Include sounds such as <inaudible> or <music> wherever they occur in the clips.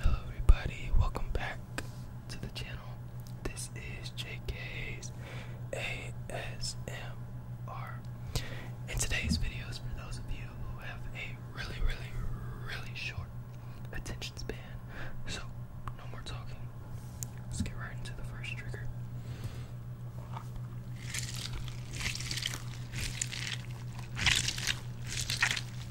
Hello everybody, welcome back to the channel. This is JK's ASMR. In today's video is for those of you who have a really, really, really short attention span. So no more talking. Let's get right into the first trigger.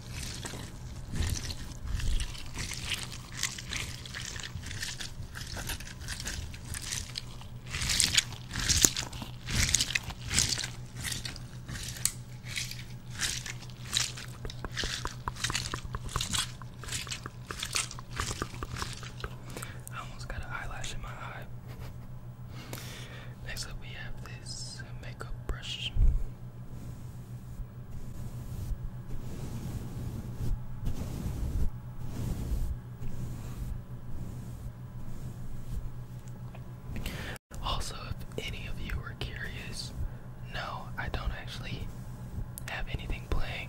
I almost got an eyelash in my eye. Next up, we have this makeup brush. Also, if any of you are curious, no, I don't actually have anything playing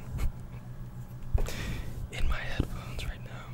in my headphones right now.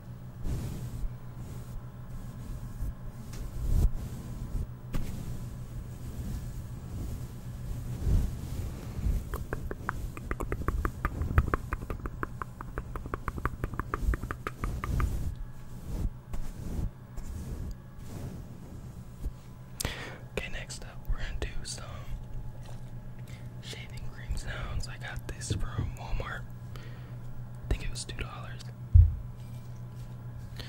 Okay, next up, we're gonna do some shaving cream sounds. I got this from Walmart. I think it was $2. I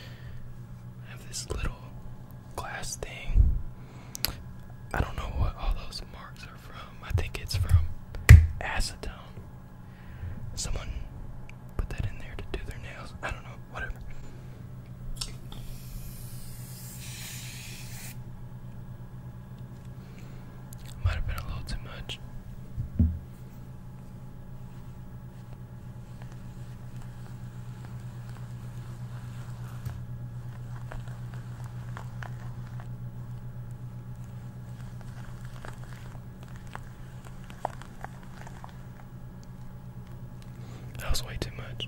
have this little glass thing. I don't know what all those marks are from. I think it's from acetone. Someone put that in there to do their nails. I don't know, whatever. Might have been a little too much. That was way too much.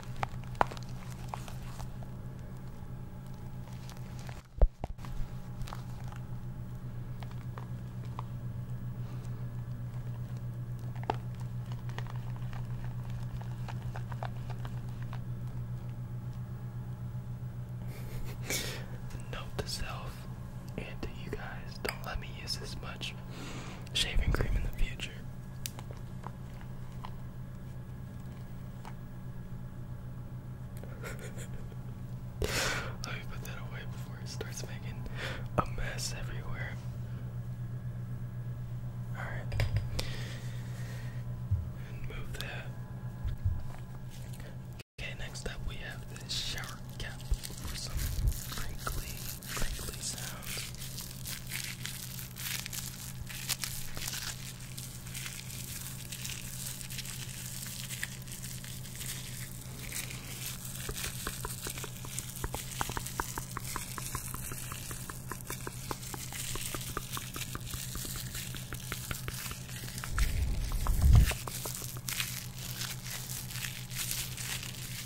<laughs> Note to self and to you guys, don't let me use this much shaving cream in the future. <laughs> Let me put that away before it starts making a mess everywhere. Alright. move that. Okay, next up we have this shower cap for some crinkly crinkly sounds.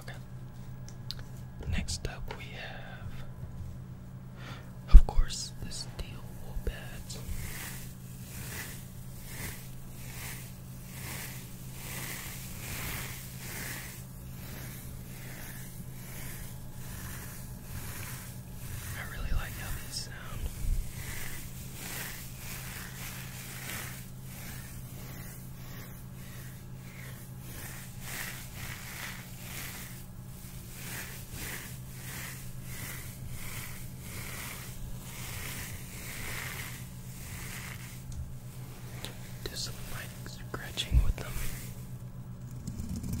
Okay. Next up we have of course, this deal will bad. I really like how sound. Just like scratching with them. Just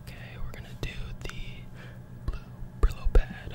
Okay, we're gonna do the blue Brillo pad.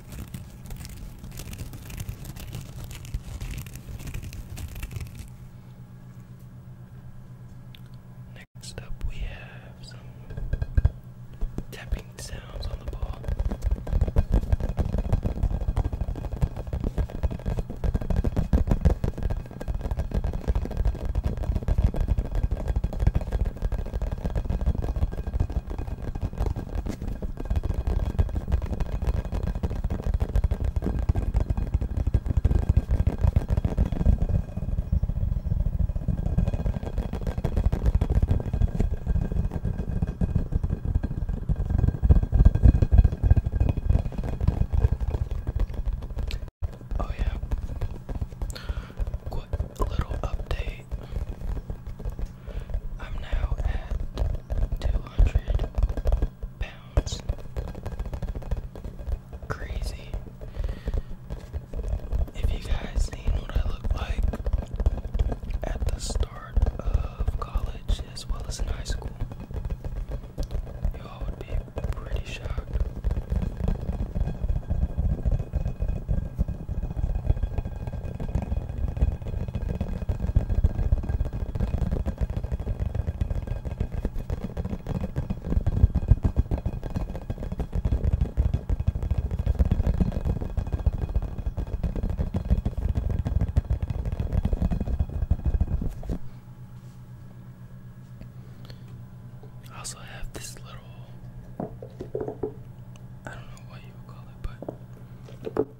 Next up, we have some tapping sounds on the ball. Oh, yeah, quick little update. I'm now at 200 pounds. Crazy. If you guys seen what I looked like at the start of college as well as in high school, y'all would be pretty shocked. I also have this little I don't know what you would call it, but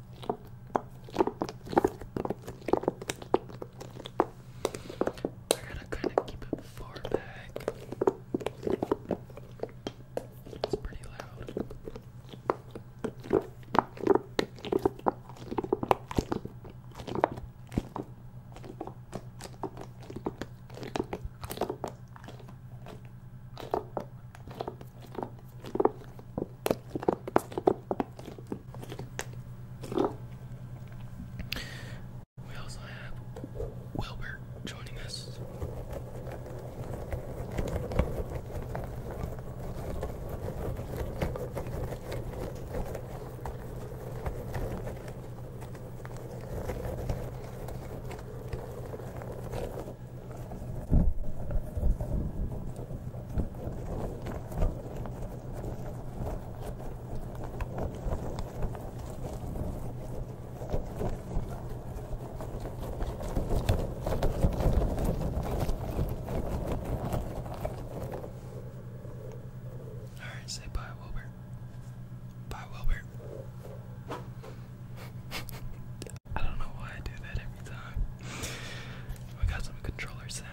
We're gonna kind of keep it far back. It's pretty loud. We also have Wilbert joining us. Alright, say bye, Wilbur. Bye, Wilbur. <laughs> I don't know why I do that every time. We got some controller sounds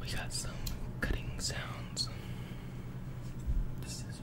We got some cutting sounds. The scissors.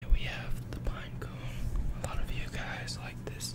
Here we have the pine A lot of you guys like this.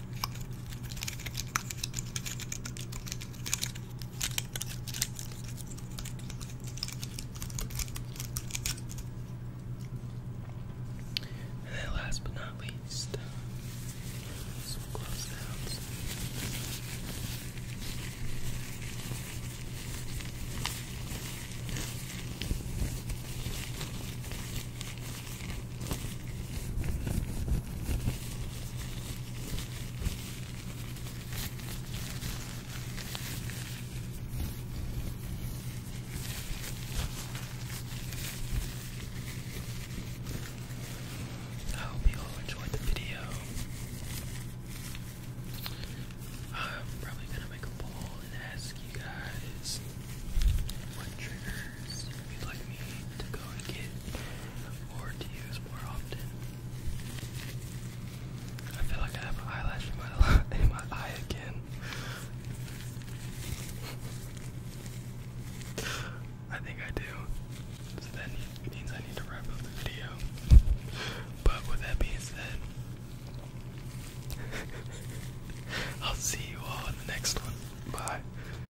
And then last but not least, some gloves sounds. I hope you all enjoyed the video. I'm probably gonna make a poll and ask you guys what triggers you'd like me to go and get or to use more often. I feel like I have an eyelash in my <laughs> in my eye again. I think I do. So that means I need to wrap up the video. But with that being said, <laughs> I'll see you all in the next one. Bye.